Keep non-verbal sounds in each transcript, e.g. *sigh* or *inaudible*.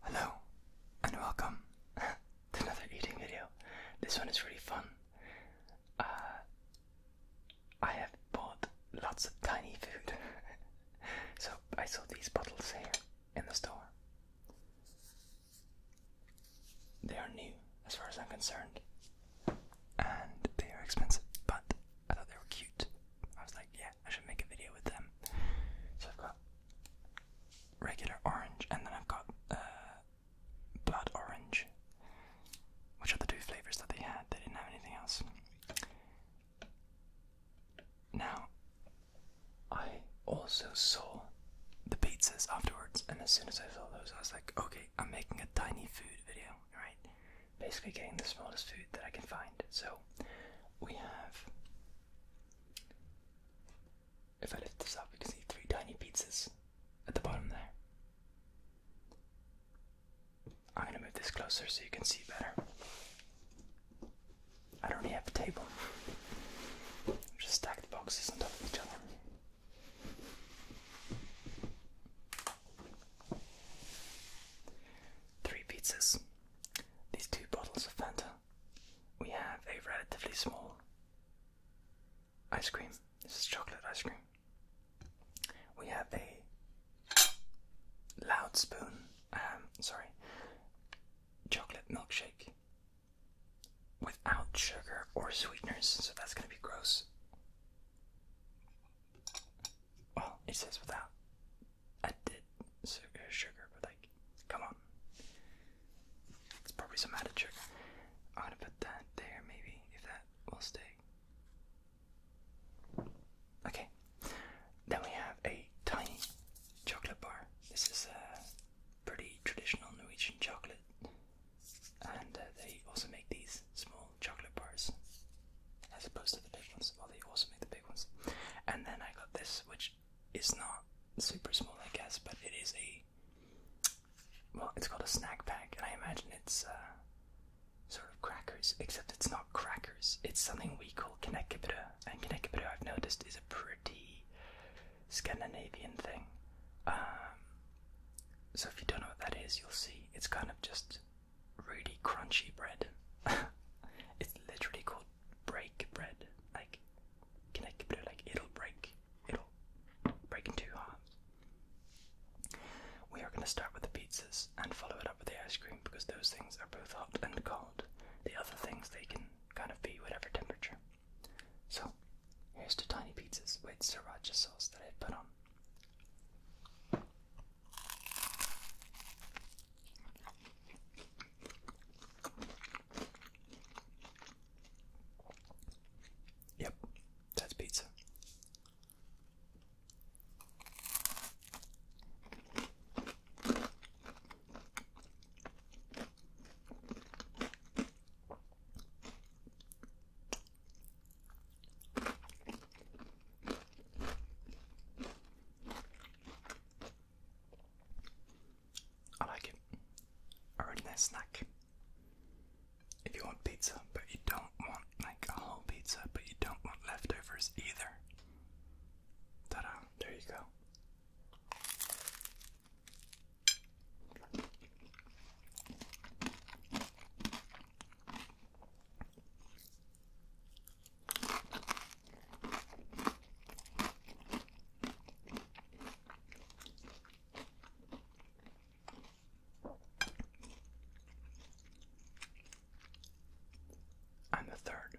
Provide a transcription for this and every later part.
Hello and welcome *laughs* to another eating video. This one is really fun. Uh, I have bought lots of tiny food. *laughs* so I saw these bottles here in the store. They are new, as far as I'm concerned, and they are expensive, but I thought they were cute. I was like, yeah, I should make a video with them. So I've got regular orange, and then I've got uh, blood orange, which are the two flavors that they had. They didn't have anything else. Now, I also saw the pizzas afterwards, and as soon as I saw those, I was like, okay, I'm making a tiny food video, right? Basically, getting the smallest food that I can find. So, we have. If I lift this up, we can see three tiny pizzas at the bottom there. I'm gonna move this closer so you can see better. I don't have a table. Just stack the boxes on top of each other. Three pizzas. These two bottles of Fanta. We have a relatively small ice cream. This is chocolate ice cream. We have a loud spoon. Um, sorry, chocolate milkshake without sugar or sweeteners, so that's going to be gross. Well, it says without. I uh, sugar, but like, come on. It's probably some added sugar. I'm going to put that there, maybe, if that will stay. Okay, then we have a tiny chocolate bar. This is a. Uh, pretty traditional Norwegian chocolate, and uh, they also make these small chocolate bars as opposed to the big ones. Well, they also make the big ones. And then I got this, which is not super small, I guess, but it is a well, it's called a snack pack, and I imagine it's uh, sort of crackers, except it's not crackers. It's something we call knekkebrød, and knekkebrød I've noticed is a pretty pretty Scandinavian thing. Um, so if you don't know what that is, you'll see it's kind of just really crunchy bread. *laughs* it's literally called break bread. Like, can I keep it? Like it'll break. It'll break two halves. We are going to start with the pizzas and follow it up with the ice cream because those things are both hot and cold. The other things they can kind of be whatever temperature. So, here's two tiny pizzas with sriracha sauce that I put on. Yep, that's pizza. I like it. A really nice snack. If you want pizza, but you don't want like a whole pizza, but you don't want leftovers either. Ta-da! There you go. I'm the third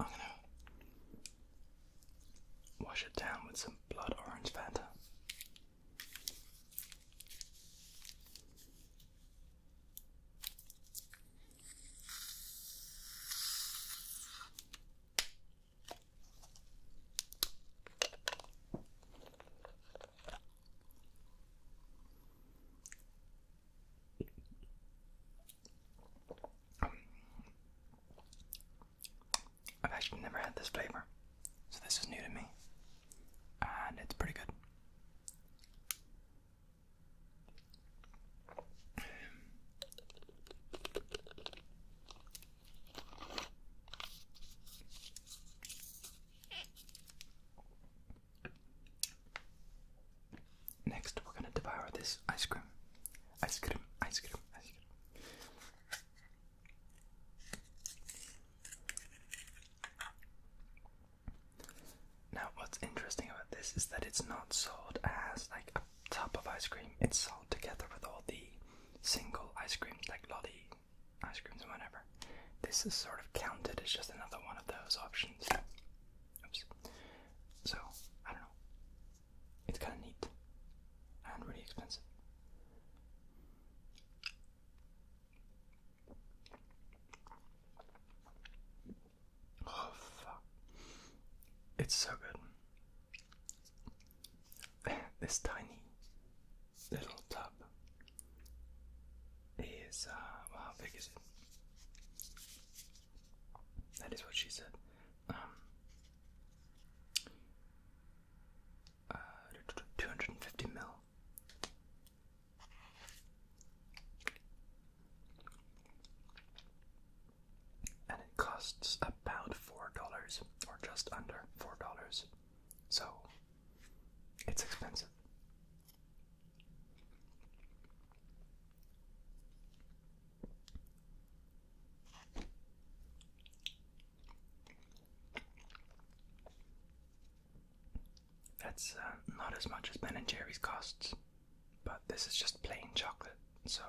I'm gonna wash it down with some blood orange Fanta. I've actually never had this flavor, so this is new to me, and it's pretty good. Next, we're gonna devour this ice cream. Ice cream, ice cream, ice cream. Now, what's interesting about this is that it's not sold as like a top of ice cream, it's sold together with all the single ice creams, like lolly ice creams and whatever. This is sort of counted as just another one of those options. Oops. So, I don't know. It's kind of neat and really expensive. Oh, fuck. It's so good. *laughs* this tiny little tub is, uh, well, how big is it? That is what she said. Um, uh, 250 mil. And it costs about four dollars, or just under four dollars. So it's expensive. That's uh, not as much as Ben and Jerry's costs, but this is just plain chocolate, so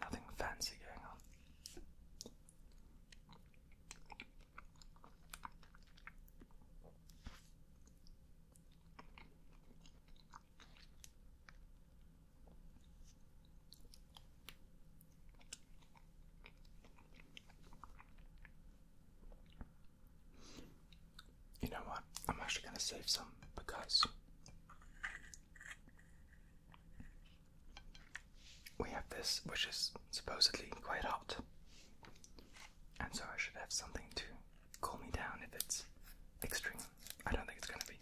nothing fancy going on. You know what? I'm actually going to save some because we have this, which is supposedly quite hot. And so I should have something to cool me down if it's extreme. I don't think it's gonna be.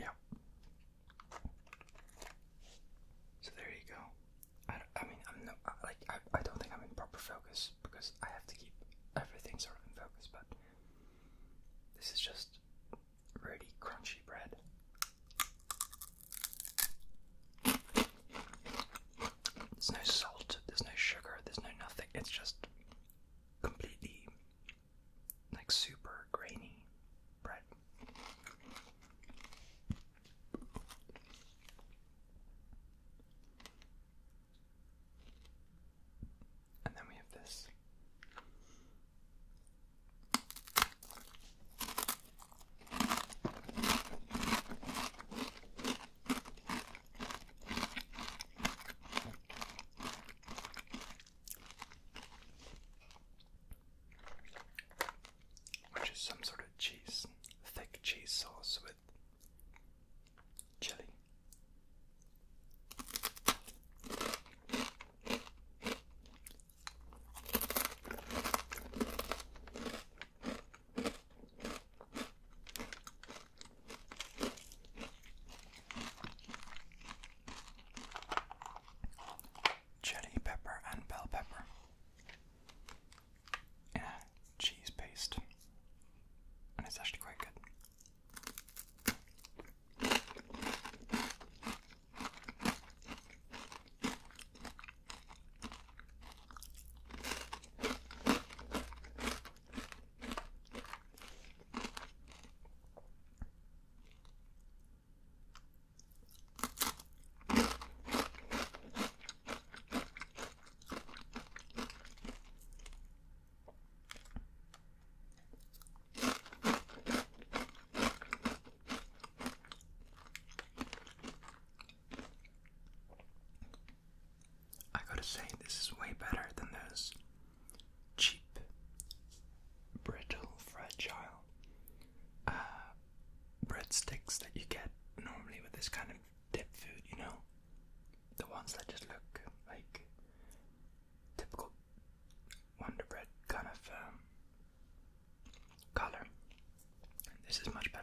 Yeah. So there you go. I, I mean, I'm no, like I, I don't think I'm in proper focus because I have to keep everything's sort of in focus, but this is just really crunchy bread. There's no salt, there's no sugar, there's no nothing. It's just completely like super grainy bread. And then we have this. Which is some sort of cheese, thick cheese sauce with chili. Chili pepper and bell pepper in cheese paste, and it's actually quite good. I gotta say, this is way better than those cheap, brittle, fragile uh, breadsticks that you get normally with this kind of dip food, you know? The ones that just look like typical Wonder Bread kind of um, color. This is much better.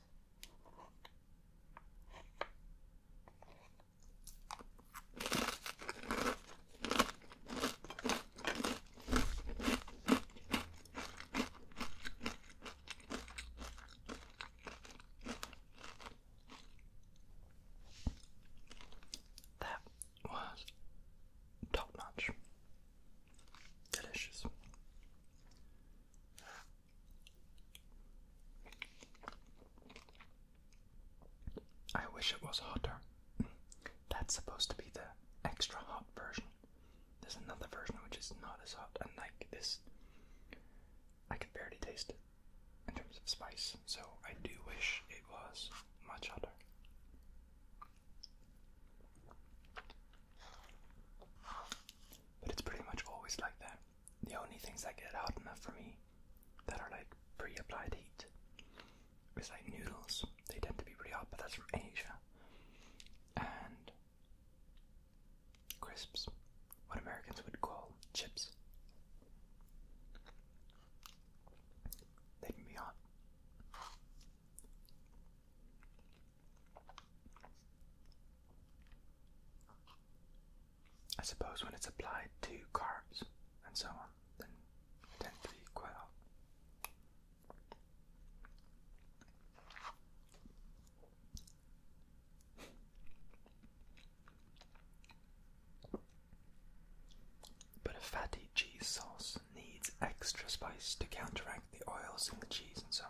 That was top notch. Delicious. I wish it was hotter. That's supposed to be the extra hot version. There's another version which is not as hot, and like this, I can barely taste it in terms of spice, so I do wish it was much hotter. But it's pretty much always like that. The only things that get hot enough for me that are like pre applied heat is like noodles. They tend to be pretty hot, but that's from Asia. And crisps, what Americans would call chips. They can be hot. I suppose when it's applied to carbs and so on, then it tends to be quite hot. But a fatty cheese sauce needs extra spice to counteract the oils in the cheese and so on.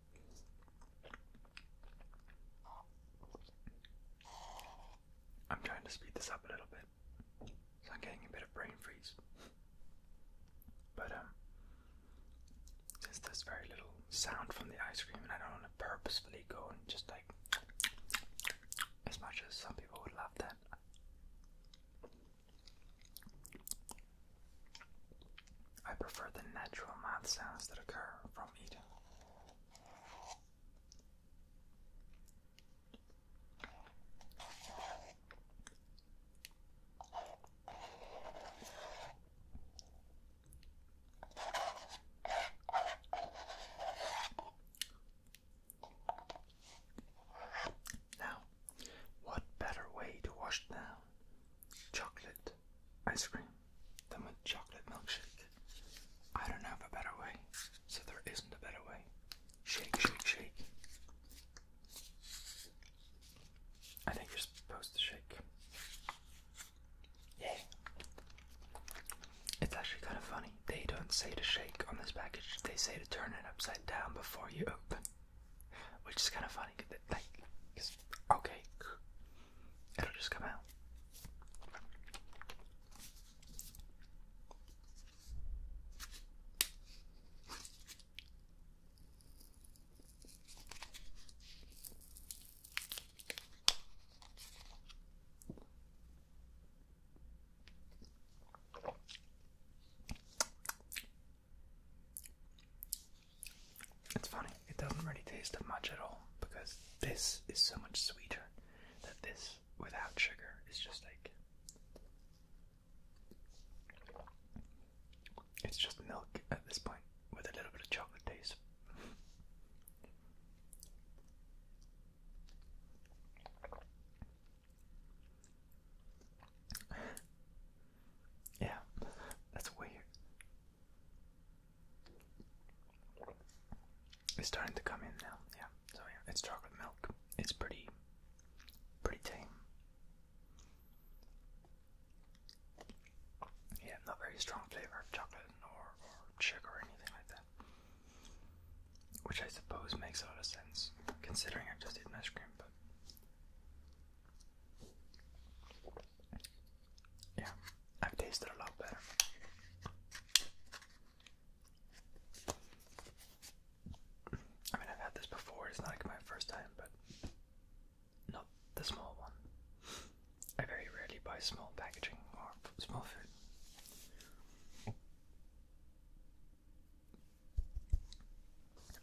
I'm trying to speed this up a little bit, so I'm getting a bit of brain freeze. But um, since there's very little sound from the ice cream, and I don't want to purposefully go and just like, as much as some people would love that. I prefer the natural mouth sounds that occur from eating. Now, what better way to wash down chocolate ice cream than with chocolate milkshake. I don't have a better way, so there isn't a better way. Shake, shake, shake. I think you're supposed to shake. Yeah. It's actually kind of funny. They don't say to shake on this package, they say to turn it upside down before you open. Which is kind of funny. okay, it'll just come out. It's funny, it doesn't really taste of much at all because this is so much sweeter that this without sugar is just like it's just milk at this point with a little bit of chocolate taste. *laughs* yeah, that's weird. It's starting to come in now, yeah. So yeah, it's chocolate milk. It's pretty, pretty tame. Yeah, not very strong flavor of chocolate or, or sugar or anything like that. Which I suppose makes a lot of sense, considering I've just eaten ice cream, yeah, I've tasted a lot better. I mean, I've had this before, it's not like my first time, but not the small one. I very rarely buy small packaging or small food.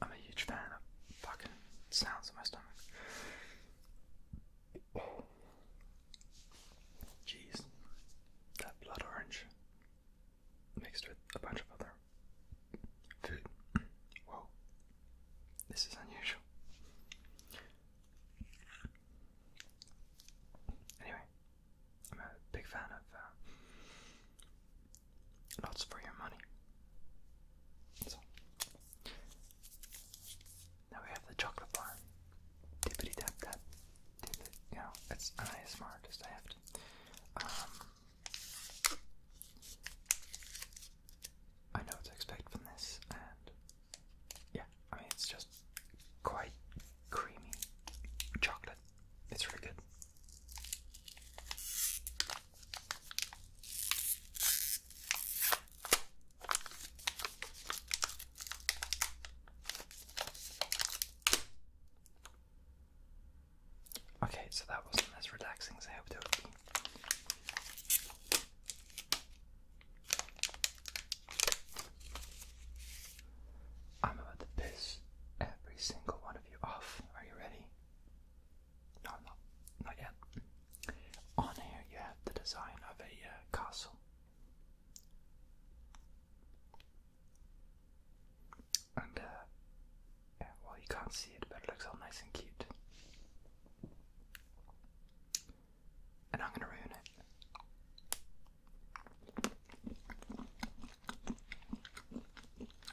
I'm a huge fan of fucking sounds in my stomach. Jeez, that blood orange mixed with a bunch of other food. *clears throat* Whoa, this is unusual. Anyway, I'm a big fan of uh, Lots for your money. So now we have the chocolate bar. Dippity tap tap. Dippity, you know, it's an ASMR artist, I have to. Um, I know what to expect from this, and yeah, I mean, it's just quite creamy chocolate. It's really good. Okay, so that wasn't as relaxing as I hoped it would be. I'm about to piss every single one of you off. Are you ready? No, not, not yet. On here you have the design of a uh, castle. And, uh, yeah, well, you can't see it, but it looks all nice and cute. And I'm gonna ruin it.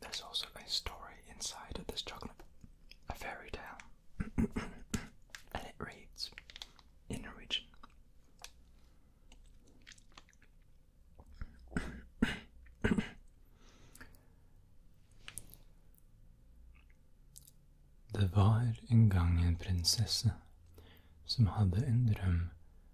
There's also a story inside of this chocolate, a fairy tale, *coughs* and it reads in Norwegian. *coughs* Det var en gang en prinsesse som hadde en drøm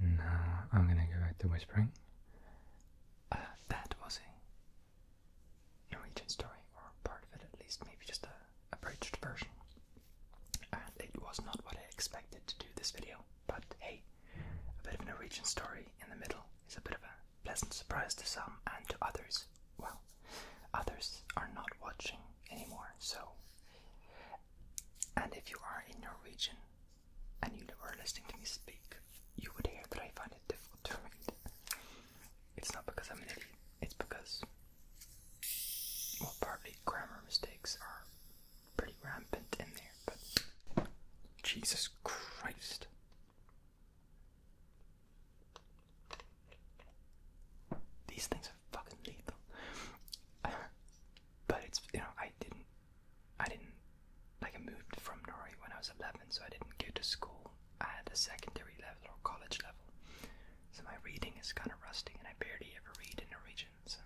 Now I'm gonna go back to whispering. Uh, that was a Norwegian story, or part of it at least, maybe just a abridged version. And it was not what I expected to do this video, but hey, a bit of a Norwegian story in the middle is a bit of a pleasant surprise to some and to others well, others are not watching anymore. So, and if you are in your region and you were listening to me speak, you would hear that I find it difficult to read. It's not because I'm an idiot, it's because, well, partly grammar mistakes are pretty rampant in there, but Jesus Christ. These things are fucking lethal. but it's you know I didn't I didn't like I moved from Norway when I was 11, so I didn't go to school at the secondary level or college level. So my reading is kind of rusty, and I barely ever read in Norwegian. So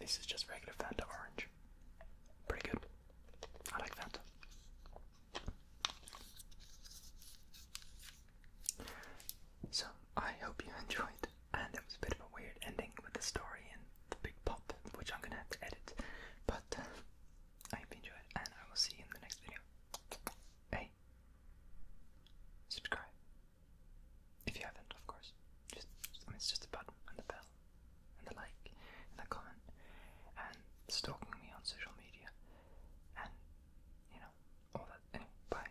this is just regular Fanta orange. Pretty good. I like that. So, I hope you *laughs* enjoyed. And it was a bit of a weird ending with the story and the big pop, which I'm gonna have to edit. But uh, I hope you enjoyed, and I will see you in the next video. Hey, subscribe if you haven't, of course. it's just a button and the bell and the like and the comment and stalking me on social media and you know all that bye